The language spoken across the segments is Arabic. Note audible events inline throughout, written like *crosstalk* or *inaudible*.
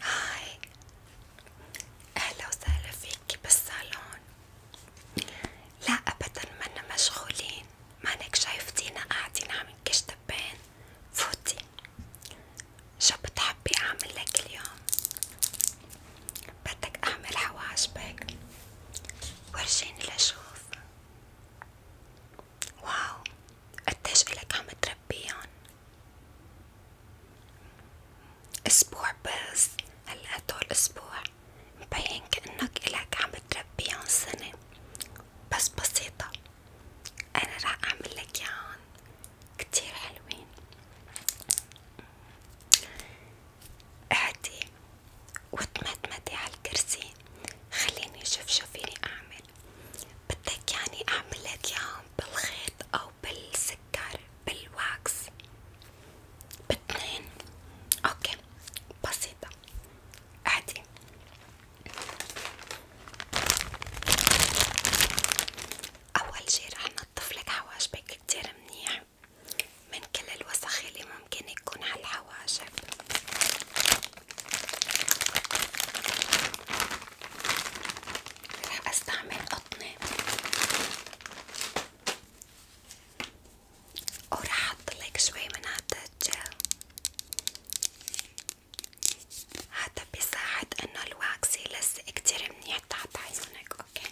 هاي أهلا وسهلا فيكي بالصالون لا أبدا منا مشغولين مانك شايفتينا قاعدين عم نكشتبين فوتي شو بتحبي أعمل لك اليوم بدك أعمل حواجبك ورجيني لأشوف واو قديش إلك عم تربيهم اسبوع بس هلا هدول اسبوع مبين كأنك إلك عم تربيهم سنة بس بسيطة أنا راح أعمل لك ياهن كتير حلوين اعدي وتمتمتي على الكرسي خليني شوف شو فيني أعمل بدك يعني اعمل لك اياهم بالخيط او بالسكر بالواكس باتنين اوكي بسيطة عادي اول شي رح نضف لك حواشبك كتير منيح من كل الوسخ اللي ممكن يكون على الحواشب رح استعمل قطنة ورح احط لك شوي من هذا الجل هذا بيساعد انه الواكس يلصق كتير منيح تحت عيونك اوكي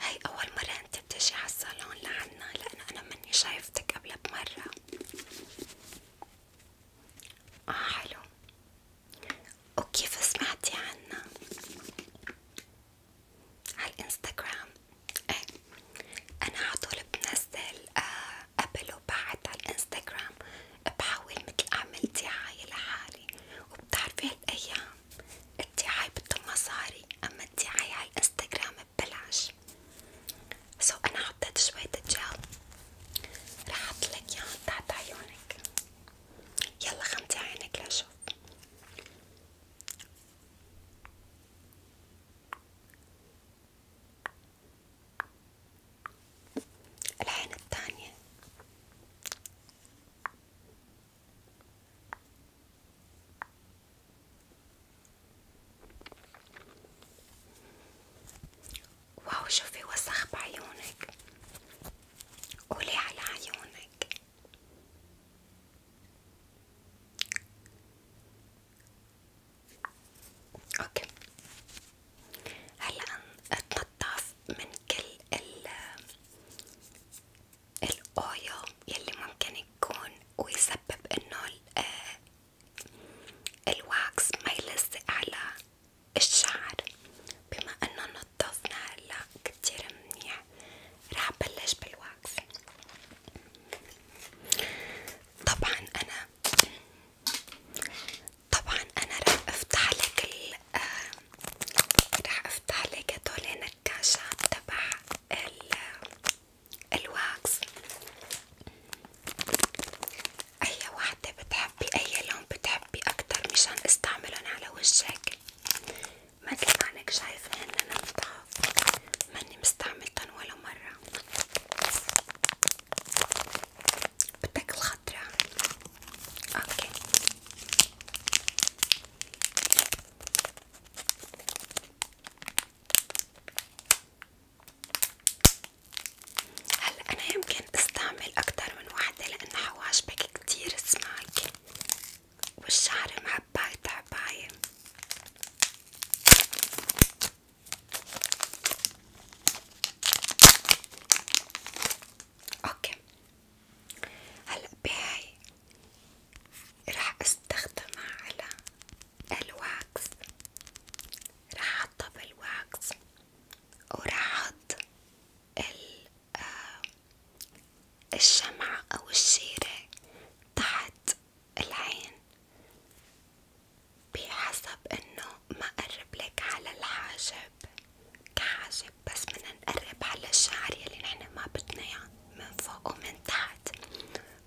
هاي أول مرة أنت بتجي عالصالون لعنا لأنه أنا مني شايفتك قبل بمرة آه حلو وكيف سمعتي عنا؟ على الانستغرام ايه أنا عطول بنزل آه قبل وبعد على الانستغرام بحاول متل اعمل دعاية لحالي وبتعرفي هالايام الدعاية بدها مصاري اما الدعاية على الانستغرام ببلاش سو انا حطيت شوية جل رح احطلك ياهن تحت عيونك يلا غمضي عينك لاشوف العين الثانية واو شوفي وسخ بعيونك قولي على عيونك اوكي هلا اتنضف من كل ال الاويو يلي ممكن يكون ويسبب انه آه، الواكس ما يلزق على الشعر بما انه نضفنا هلا كتير منيح راح بلش بالواكس طبعا انا طبعا انا راح افتح لك ال آه، راح افتح لك هدول النكاشات تبع الواكس اي وحدة بتحبي اي لون بتحبي اكتر مشان استعملهم على وجهك مثل ما انك شايفة هن انا ماني مستعملتن ولا مرة بدك الخضرة اوكي هلا انا يمكن استعمل اكتر من وحدة لان حواجبك كتير سماك والشعر معباي تعباية اوكي هلا بهاي راح استخدمها على الواكس راح احطها بالواكس وراح احط آه، الشمعة او الشيرة تحت العين بحسب انه ما قرب لك على الحاجب كحاجب بس بدنا نقرب على الشعر يلي نحن ما بدنا اياه من فوق ومن تحت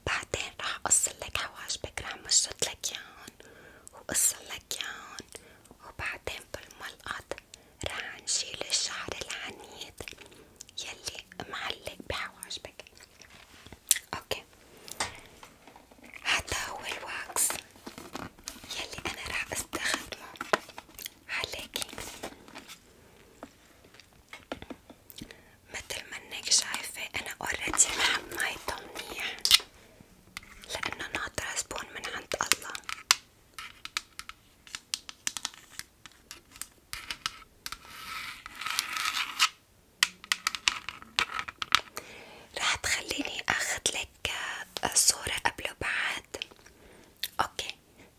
بعدين رح قصلك حواجبك رح مشطلك ياهن وقصلك ياهن وبعدين بالملقط رح نشيل الشعر العنيد يلي معلق بحواجبك اوكي هذا هو الواكس يلي انا راح استخدمه عليكي متل ما انك شايفة انا اوريدي محمايته منيح لانه ناطرة زبون من عند الله رح تخليني اخدلك آه، صورة قبل وبعد اوكي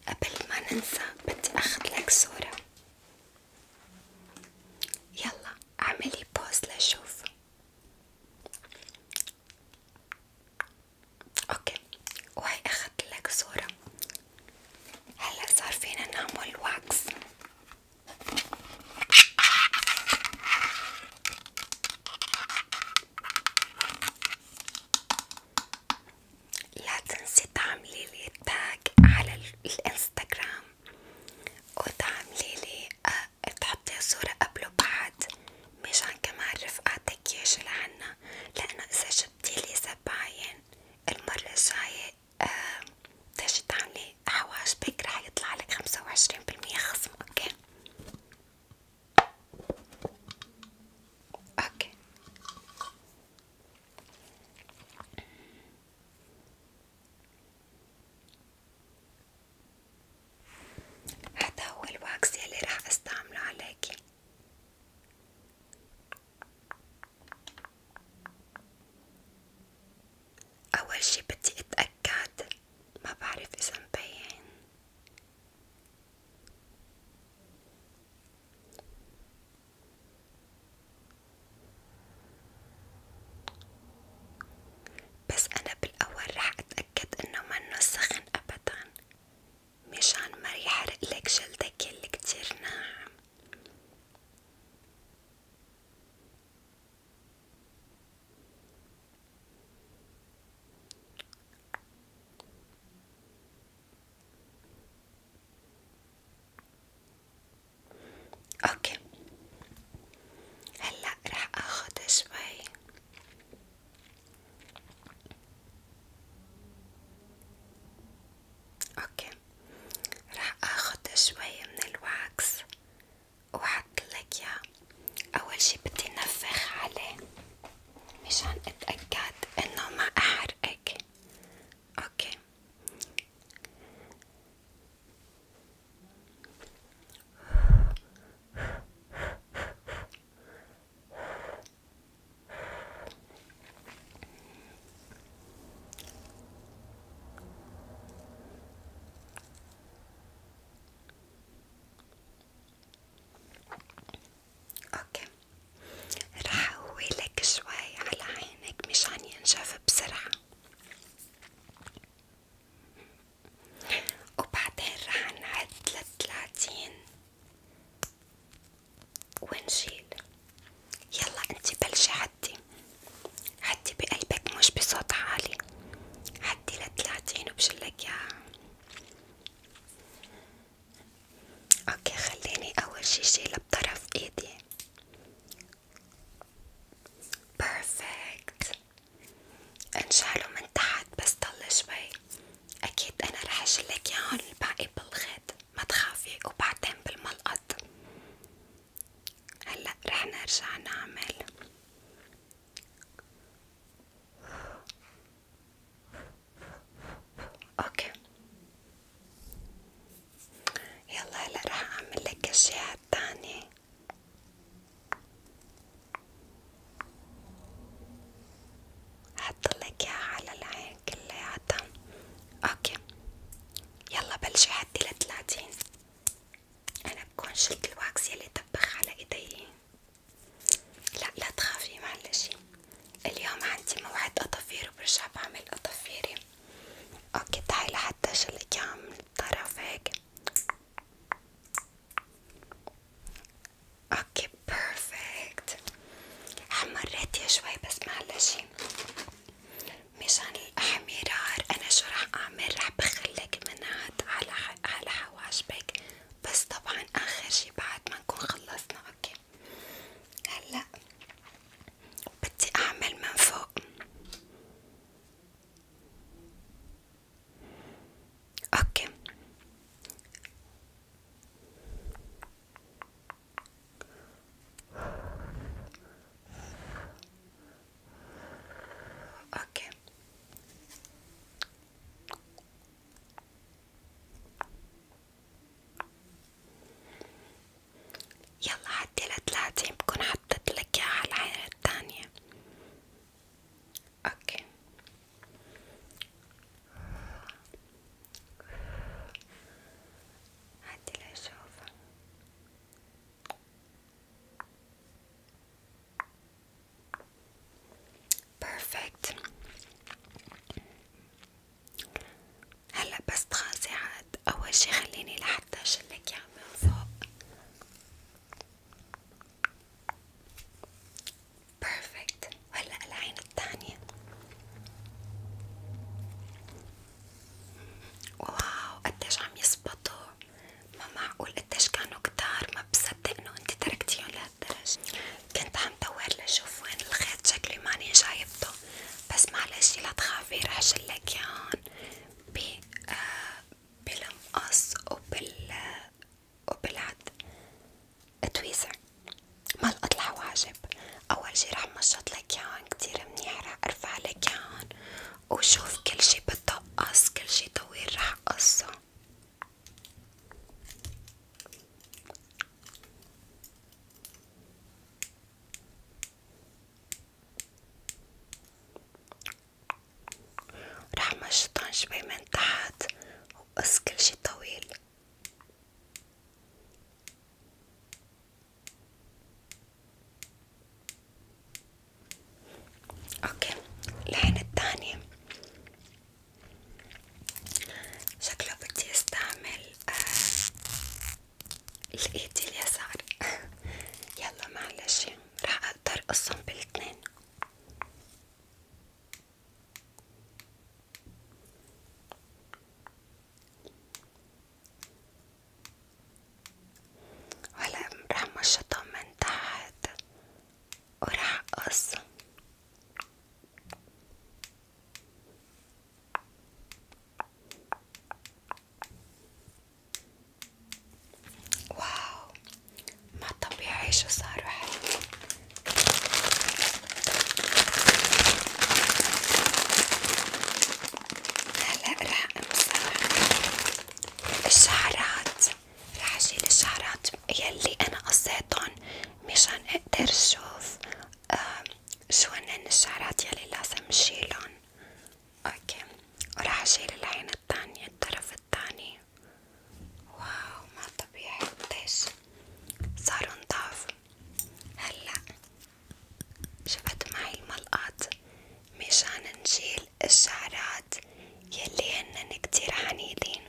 قبل ما ننسى بدي اخدلك صورة يلا اعملي بوز لشوف اوكي وهي اخدلك صورة هلا صار فينا نعمل واكس لا تنسي تعملي لي تاج على الانستغرام وتعملي لي أه تحطي صورة قبل وبعد مشان كمان رفقاتك يجوا لعنا لأنه إذا جبتيلي زباين المرة الجاية تجي تعملي حواش بيك رح يطلع لك خمسة وعشرين بالمية خصم اوكي اوكي هذا هو الواكس يلي رح استعمله عليكي أول شي بدي أتأكد ما بعرف إذا مبين بس أنا بالأول رح أتأكد إنه منه سخن أبدا مشان ما يحرقلك جلدك اللي كتير ناعم اوكي هلا راح اخذ شوي اوكي راح اخد شوي من الواكس وحطلك ياه اول شي بدي نفخ عليه مشان اتأكد انه ما احرقك اوكي اوكي رح اقولك شوي على عينك مشان ينشف بسرعة وبعدين رح نعد لتلاتين ونشيل يلا انت بلشي حدي حدي بقلبك مش بصوت عالي حدي لتلاتين وبشلك يا اوكي خليني اول شي شيلة بطرف ايدي بيرفكت انشاله من تحت بس ضل شوي اكيد انا رح اشيلك ياهن الباقي بالخيط ما تخافي وبعدين بالملقط هلا رح نرجع نعمل اوكي يلا هلا رح اعمل لك الشيء الثاني حط لك اياها على العين هاي كلياتها اوكي يلا بلشي حدي لتلاتين انا بكون شلت الواكس يلي دبخ على ايدي لا لا تخافي معلش اليوم عندي موعد اطفير وبرجع بعمل اطفيري اوكي تعي لحتى شل من الطرف هيك اوكي بيرفكت حمرتي شوي بس معلش مشان الحميرار انا شو رح اعمل رح بخلك منعت على على حواجبك بس طبعا اخر شي بعد ما نكون خلصنا اوكي هلا بدي اعمل من فوق اوكي اوكي يلا عدي لتلاتين بكون حطيت لك اياها العين التانية اوكي عدي لأشوفه بيرفكت هلا بس تخلصي عاد أول شي خليني لحتى أشلك إياه من فوق بيرفكت وهلا العين التانية واو قديش عم يزبطوا ما معقول قديش كانوا كتار ما بصدق انه انت تركتيهم لهالدرجة كنت عم دور لشوف وين الخيط شكلي ماني جايبته بس معلش لا تخافي رح شلك ياهن آه، بالمقص وبال آه، وبالعد تويزر ما الأطلع واجب أول شي رح مشط لك ياهن كتير منيح رح أرفع لك ياهن وشوف كل شي بتقص كل شي طويل رح قصه رح مشطن شوي من تحت وقص كل شي طويل اوكي الحين الثانية شكله بدي استعمل آه، الايد اليسار *laughs* يلا معلش راح اقدر اقسم بالاثنين هلا رح مشطها من تحت ورح أقص واو ما طبيعي شو صاروا حلو هلا رح امسح الشعرات رح اشيل الشعرات يلي انا قصيتن مشان اقدر شوف شو هنن الشعرات يلي لازم شيلن اوكي ورح اشيل العين التانية الطرف التاني واو ما طبيعي قديش صاروا نضاف هلا شفت معي الملقط مشان نشيل الشعرات يلي هنن كتير حنينين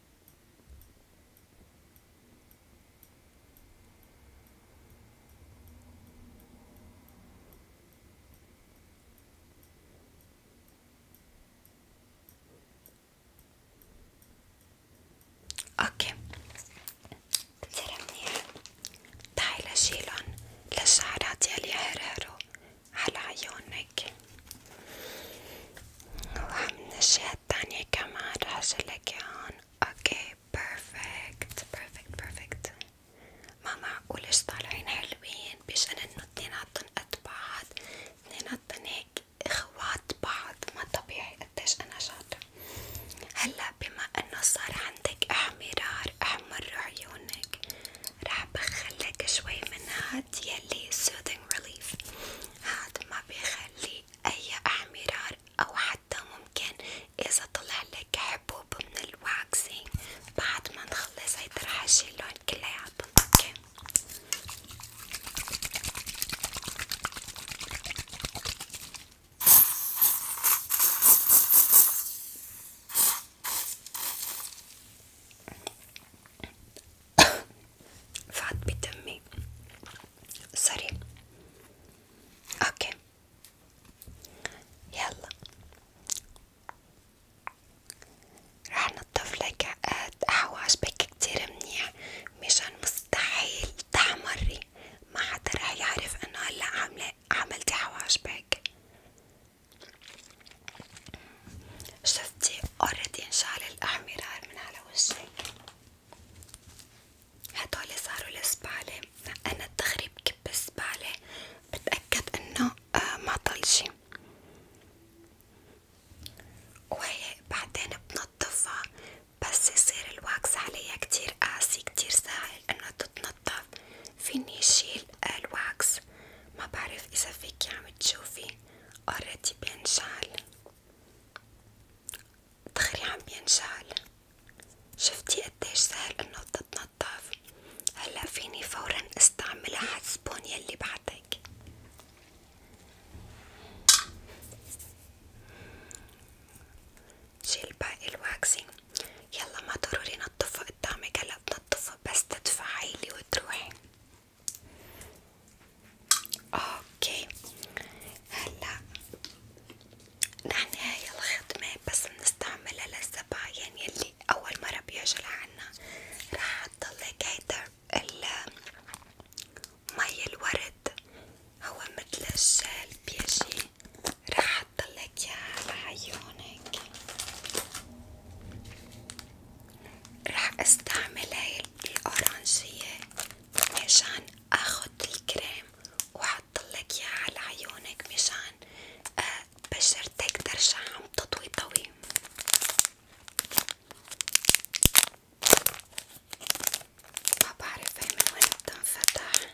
اوكي كتير منيح تعي لشيلن للشعرات يلي هرهرو على عيونك وعم نشيل التانية كمان رح أشيلك إياهن، أوكي بيرفكت بيرفكت بيرفكت، ما معقول إيش طالعين حلوين، بشأن إنه اتنيناتن قد بعض، اتنيناتن هيك إخوات بعض، ما طبيعي قديش أنا شاطرة، هلا بما إنه صار عندك إحمرار أحمر عيونك، رح بخلك شوي من هاد يلي soothing relief، هاد ما بيخلي أي أحمرار أو حتى ممكن إذا طلع لك حبوب من الواكسينج بعد ما نخلص هيدا رح أشيلهم كلياتهم أوكي *coughs* فات بدمي سوري اوكي يلا راح نضف لك حواجبك كتير منيح مشان مستحيل تحمري ما حدا راح يعرف انه هلا عاملة عملتي حواجبك شفتي اوريدي انشال الاحمرار من على وجهك هدول صاروا للزبالة أنا دغري بكب الزبالة بتأكد إنه آه، ما ضل شي وهي بعدين بنضفها بس يصير الواكس عليها كتير قاسي كتير سهل إنه تتنضف فيني شيل الواكس ما بعرف إذا فيكي عم تشوفي اوريدي بينشال دخلي عم ينشعل شفتي قديش سهل انه تتنضف هلا فيني فورا استعملها حسبون يلي بعتك شيل باقي الواكسينج يلا ما ضروري نطفه قدامك هلا بنطفه بس تدفعيلي وتروحي اوكي هلا نحن هاي الخدمة بس بنستعملها للزباين يلي يعني أول مرة بيجوا لعنا رح تضلك هيدا مي الورد هو متل الجل بيجي رح تضلك ياها على عيونك رح استعمل هاي الأورانجية مشان اخد الكريم وحطلك اياه على عيونك مشان آه، بشرتك ترجع عم تضوي ضوي ما بعرف هي من وين بتنفتح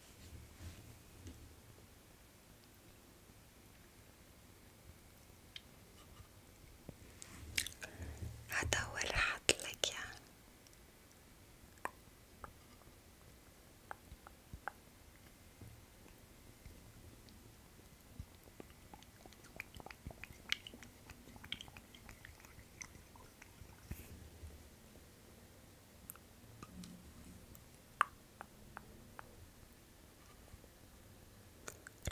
هذا هو اللي حاطلك ياه يعني.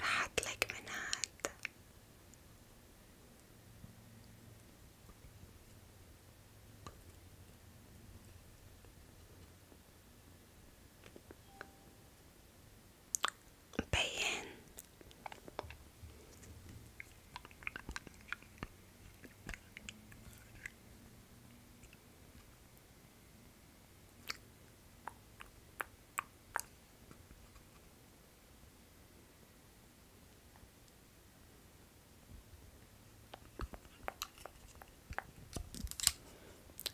راح أطلق من هاد مبين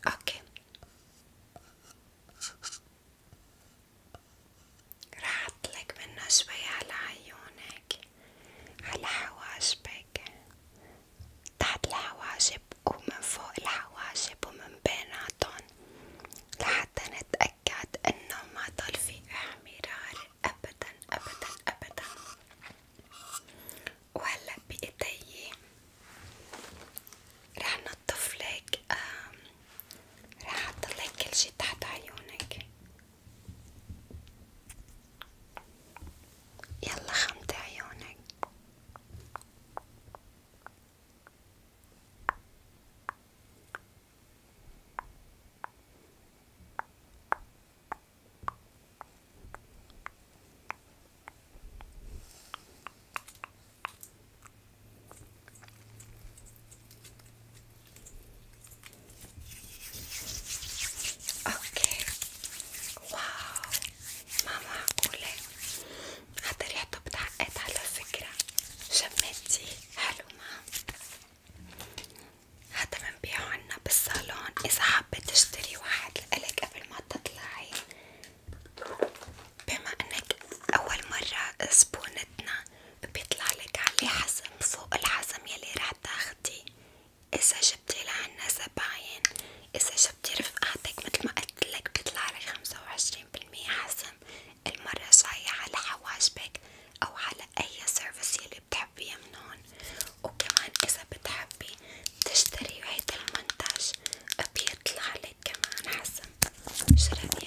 اوكي راح اطلق منه شوية على عيونك لك على حواجبك تحت الحواجب ومن فوق الحواجب ومن بيناتن لحتى نتأكد انه ما ضل في احمرار ابدا ابدا ابدا وهلا بايدي رح نطفلك رح احطلك كل شي تحت عيونك يلا خمت عيونك اوكي واو ما معقولة حتى ريحته بتعقد على فكرة شميتي حلو ما هذا بنبيعه عنا بالصالون اذا حابة تشتري واحد لإلك قبل ما تطلعي بما انك اول مرة سبونتنا بيطلعلك عليه حزم فوق الحزم يلي رح تاخدي إذا جبتي لعنا زباين إذا جبتي رفقاتك متل ما قلتلك بيطلعلك خمسة وعشرين بالمية حزم المرة الجاية على حواجبك أو على أي سيرفيس يلي بتحبيه من هون وكمان إذا بتحبي تشتري هيدا المنتج بيطلعلك كمان حزم شو رأيك؟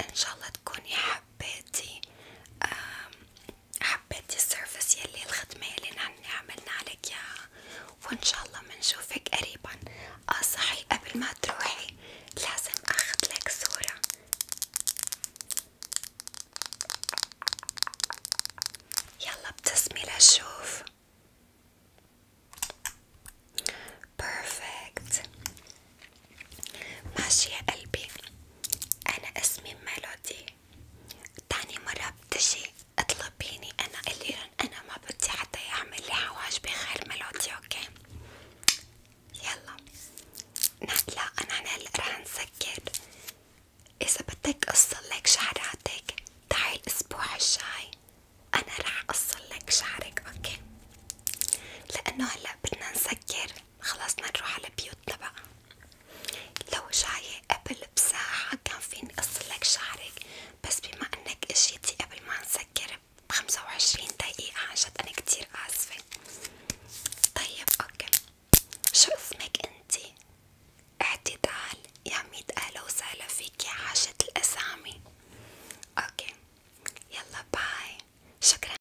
ان شاء الله تكوني حبيتي حبيتي السيرفيس يلي الخدمة يلي نحن عملنا عليك اياها وان شاء الله منشوفك قريبا اه صحي قبل ما تروحي لازم اخذ لك صورة يلا ابتسمي لشوف Perfect ماشي يا قلبي أنا اسمي ميلودي تاني مرة بتجي اطلبيني أنا قليلا أنا ما بدي حتى يعمل لي حواش بخير ميلودي أوكي يلا لا أنا هلا رح نسكر إذا بدك أصلك شعراتك تعي الأسبوع الجاي أنا رح أصلك شعرك أوكي لأنه هلا بدنا نسكر خلصنا نروح على بيوتنا بقى لو جاية قبل بساعة كان فيني اقصلك شعرك بس بما انك اجيتي قبل ما نسكر بخمسة وعشرين دقيقة عنجد انا كتير اسفة طيب اوكي شو اسمك انتي؟ اعتدال يا ميت اهلا وسهلا فيكي عاشت الاسامي اوكي يلا باي شكرا